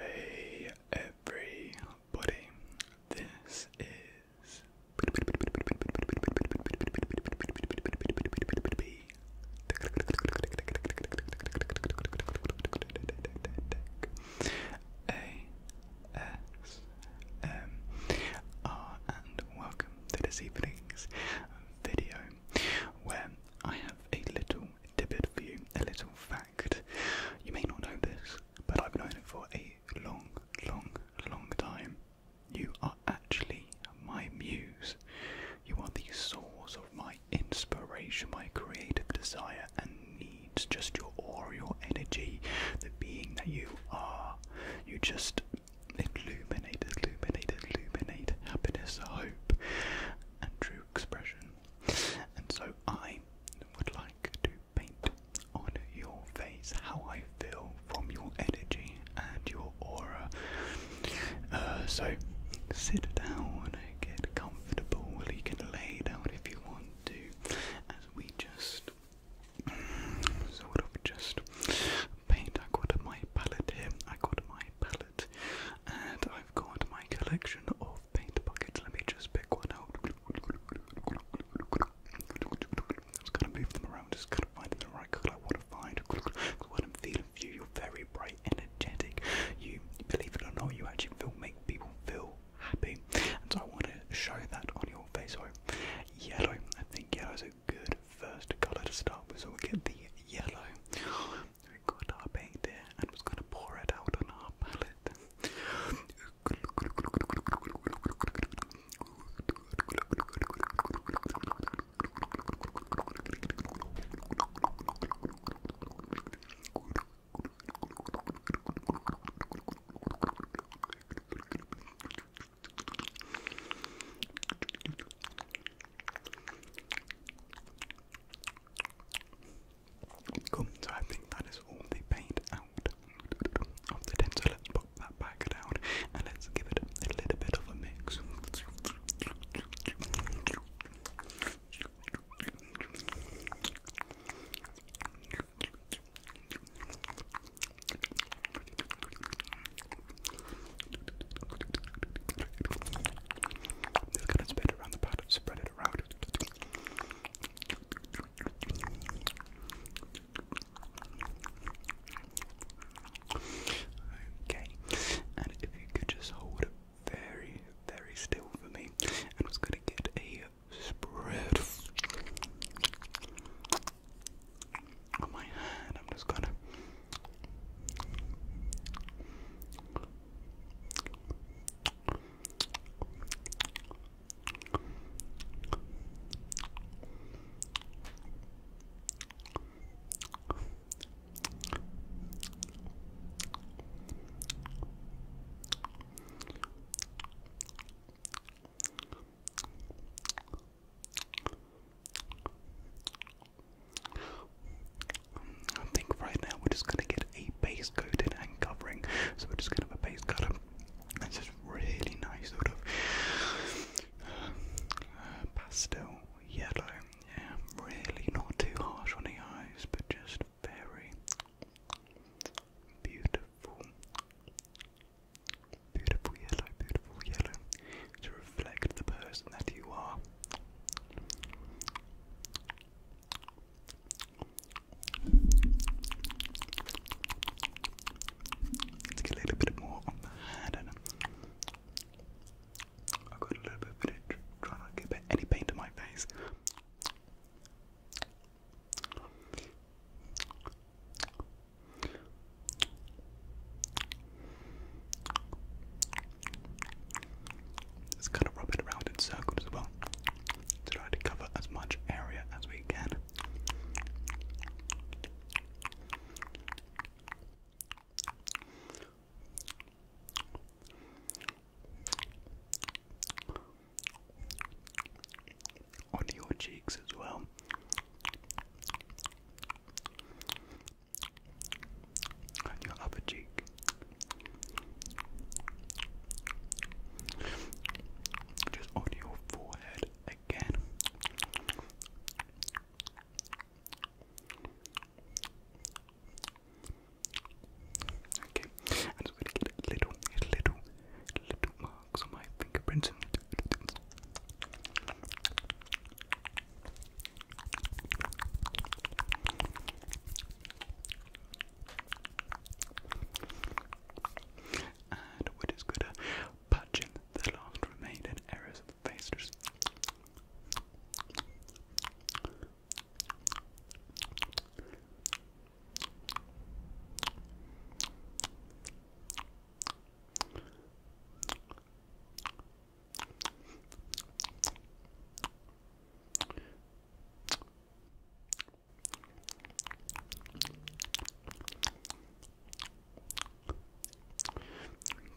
Hey everybody, this is a S M R, and welcome to this evening's video where I have a little tidbit for you, a little fact. You may not know this, but I've known it for a long, long, long time. You are actually my muse. You are the source of my inspiration, my creative desire, and needs, just your aura, your energy, the being that you are. You just illuminate, illuminate, illuminate happiness, hope, and true expression. And so I would like to paint on your face how I feel from your energy and your aura. Uh, so sit down, and get comfortable. You can lay down if you want to, we just sort of just paint. I got my palette here. I got my palette, and I've got my collection of paint buckets. Let me just pick one out. Just kind of move them around. Just kind of finding the right color I want to find. What I'm feeling you. You're very bright, energetic. You believe it or not, you actually feel make people feel happy. And so I want to show that on your face. So yellow, I think yellow is a good first colour to start with. So we'll get the yellow. we got our paint there and I'm just going to pour it out on our palette. Cool, so I think that is all the paint out of the so let's pop that back down and let's give it a little bit of a mix. Just gonna spread it around the pot, spread it around. Okay, and if you could just hold it very, very still for me, I'm just gonna get a spread on my hand. I'm just gonna. I think right now we're just going to get a base coating and covering. So we're just going to have a base coat. It's just really nice, sort of uh, uh, pastel yellow. Yeah, really not too harsh on the eyes, but just very beautiful, beautiful yellow, beautiful yellow to reflect the person that you are. Let's get a little bit more on the hand. I've got a little bit of it, try not to get any paint on my face. Just kind of rub it around in circles as well try to cover as much area as we can on your cheeks as well. And your upper cheek. Just on your forehead again. Okay, so I get little, little, little marks on my fingerprints. And what is good at uh, patching the last remaining areas of the face.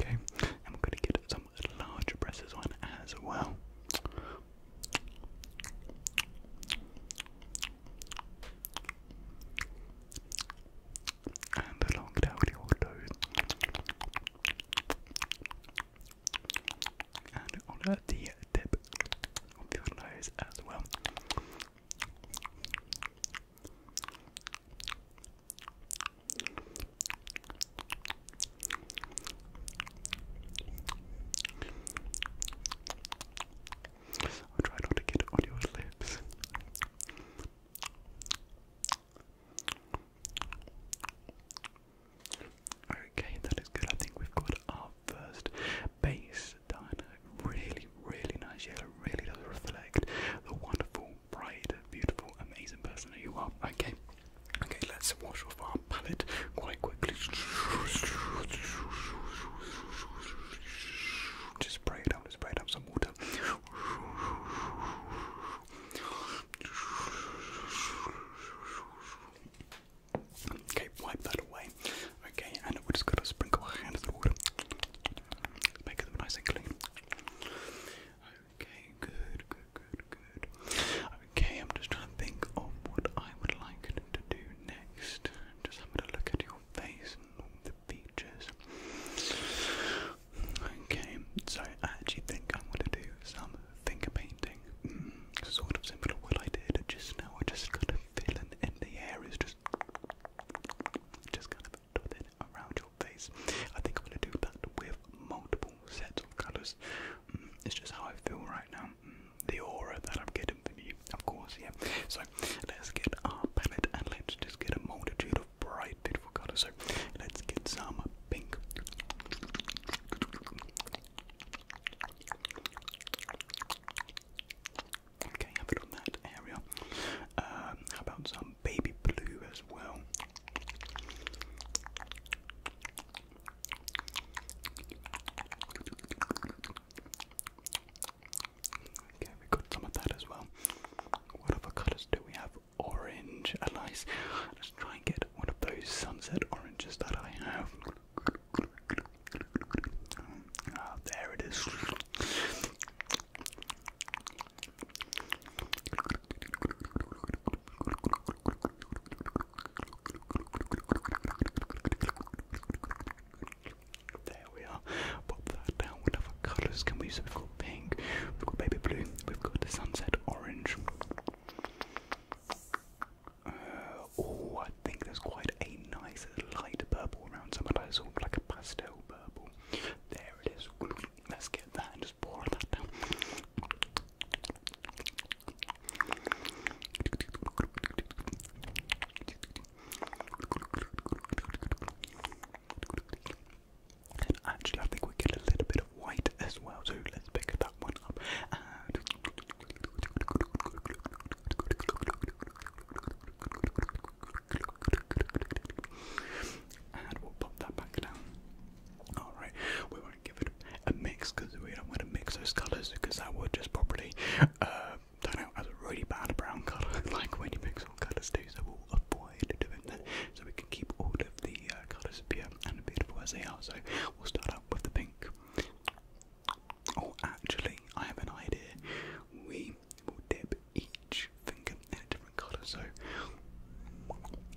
Okay, and we going to get some larger presses on as well. And a long dowdy old And on the tip of your nose as well. I'll try not to get it on your lips. Okay, that is good. I think we've got our first base done. Really, really nice yellow. Really does reflect the wonderful, bright, beautiful, amazing person that you are. Okay, okay, let's wash off quite quickly. Just spray it just spray it some water. Okay, wipe that away. Okay, and we just gonna sprinkle our hands in the water. Make it nice and clean. Okay, good, good, good. Okay, I'm just trying to think of what I would like to do next. Just have a look at your face and all the features. Okay, so I actually think I'm going to do some finger painting. Mm, sort of similar to what I did just now. I just kind of fill in, in the areas, just, just kind of dot it around your face. I think I'm going to do that with multiple sets of colours. Mm, it's just how I feel right now the aura that I'm getting from you, of course, yeah. So let's get our palette and let's just get a multitude of bright, beautiful colours. So let's get some pink. Okay, have it on that area. Um, how about some baby blue as well? Okay, we got some of that as well. What other colours do we have? Orange, a Let's try and get one of those sunset oranges that I have. Ah, there it is. There we are. Pop that down. What other colours can we we've got pink, we've got baby blue, we've got the sunset orange. oh, I think there's quite a nice light purple around some of sort of like a pastel purple. There it is. Let's get that and just pour that down. And actually, I think we get a little bit of white as well, so let's pick that one up. and we'll pop that back down. Alright, we won't give it a mix because we don't want to mix those colours because that would just probably uh, turn out as a really bad brown colour like when you mix all colours too so we'll avoid doing that so we can keep all of the uh, colours pure and beautiful as they are so we'll start out with the pink oh actually I have an idea we will dip each finger in a different colour so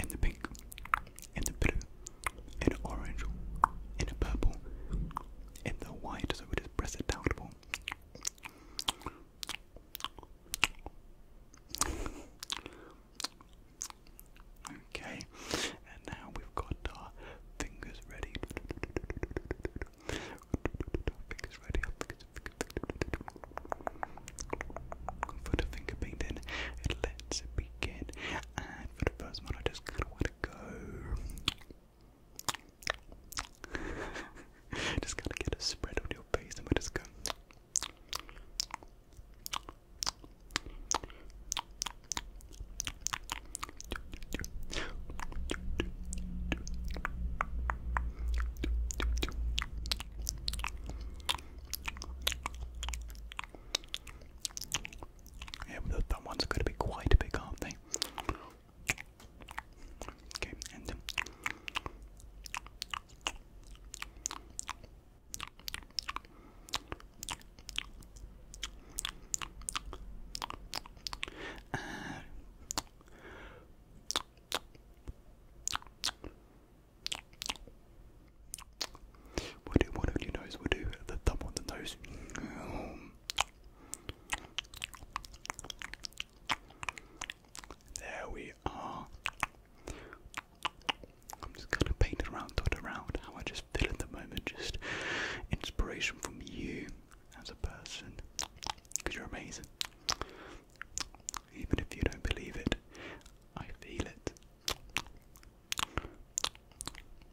in the pink in the blue and orange, and purple, and the white, so we just press it down. Okay, and now we've got our fingers ready. Fingers ready. For the finger painting, let's begin. And for the first one, I just got just gotta get a spread on your face and we'll just go. Yeah, the that one's going to be quite a big, aren't they? Okay, and um, uh, do one of your nose will do the thumb on the nose? There we are. I'm just kind of painting around, dot around how I just feel at the moment. Just inspiration from you as a person, because you're amazing. Even if you don't believe it, I feel it.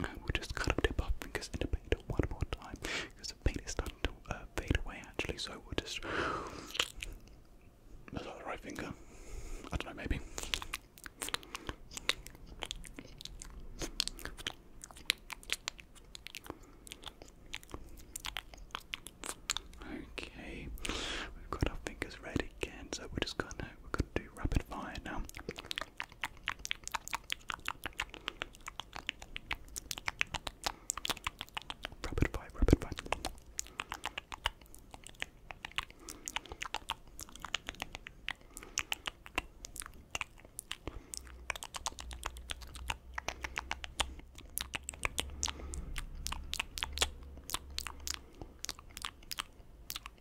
we just kind of dip up because in the paint one more time because the paint is starting to uh, fade away actually. So we just. Is that right finger? I don't know, maybe. Okay, we've got our fingers red again, so we're just gonna we're gonna do rapid fire now. Rapid fire, rapid fire.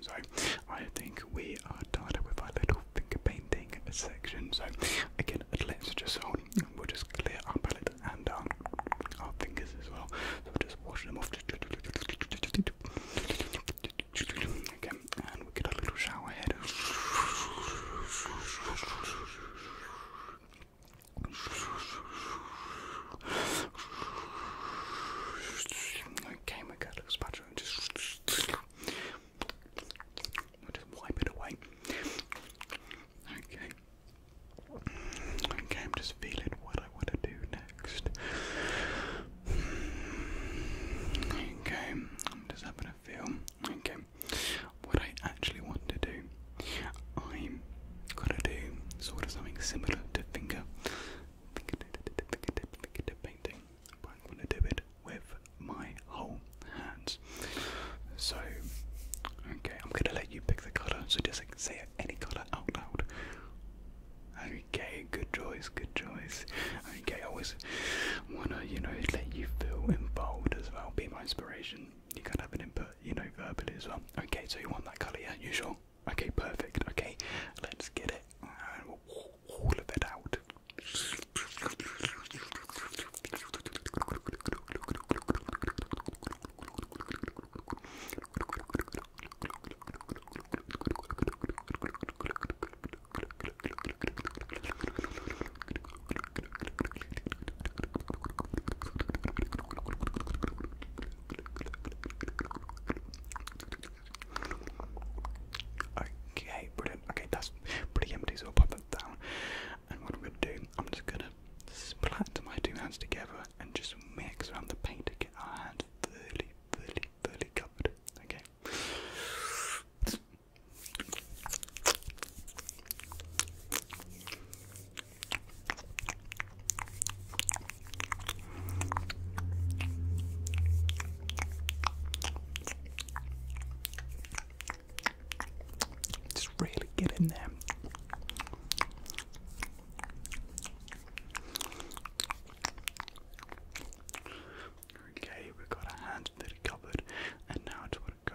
so I think we are done with our little finger painting section. So again, let's just hold. We'll just clear our palette and our, um, our fingers as well. So just wash them off. Okay, and we get a little shower head. Okay, we got a little spot just, wipe it away. Okay. Okay, I'm just feeling what I want to do next. Okay, I'm just having a feel. Okay, what I actually want to do, I'm gonna do sort of something similar to finger, fingertip, fingertip, fingertip painting but I'm going to do it with my whole hands. So, okay, I'm going to let you pick the colour, so just like, say any colour out loud. Okay, good choice, good choice. Okay, I always want to, you know, let you feel involved as well, be my inspiration. You can have an input, you know, verbally as well. Okay, so you want that colour, yeah? You sure? Okay, perfect. Okay, let's get it all of it out. Okay, brilliant. Okay, that's pretty empty, so I'll pop that down. And what I'm gonna do, I'm just gonna splat my two hands together and just mix around the paint to get our hands thoroughly, thoroughly, thoroughly covered. Okay. It's really getting there. Okay, we've got our hands that covered, and now I just to go.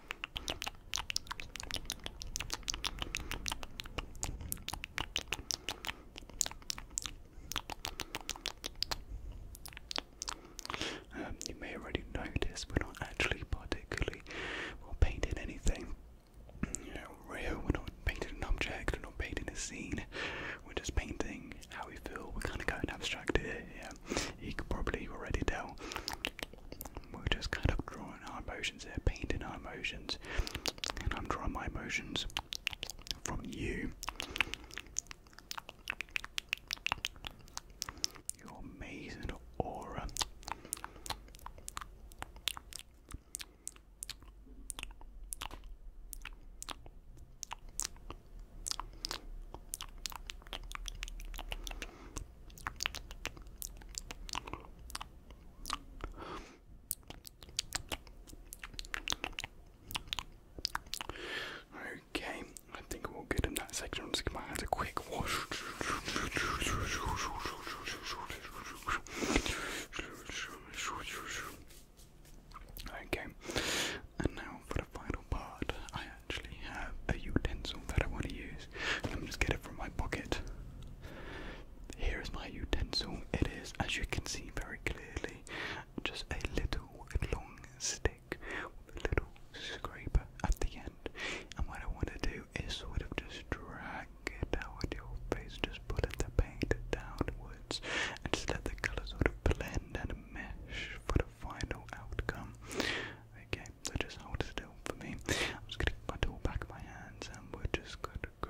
Um, you may already notice we're not actually particularly painting anything real. We're not painting an object. We're not painting a scene. We're just painting how we feel. We're kind of going abstract Yeah, you could probably already tell we're just kind of drawing our emotions there, painting our emotions, and I'm drawing my emotions from you. Your amazing aura. Okay, I think we'll get in that section. I'll give my hands a quick wash. Okay, and now for the final part, I actually have a utensil that I want to use. Let me just get it from my pocket. Here is my utensil. It is, as you can see very clearly, just a little long stick with a little scraper at the end. And what I want to do is sort of just drag it down with your face, just pull the paint downwards, and just let the colours sort of blend and mesh for the final outcome. Okay, just how it is still for me. I'm just gonna get my tool back my hands and we're just gonna go.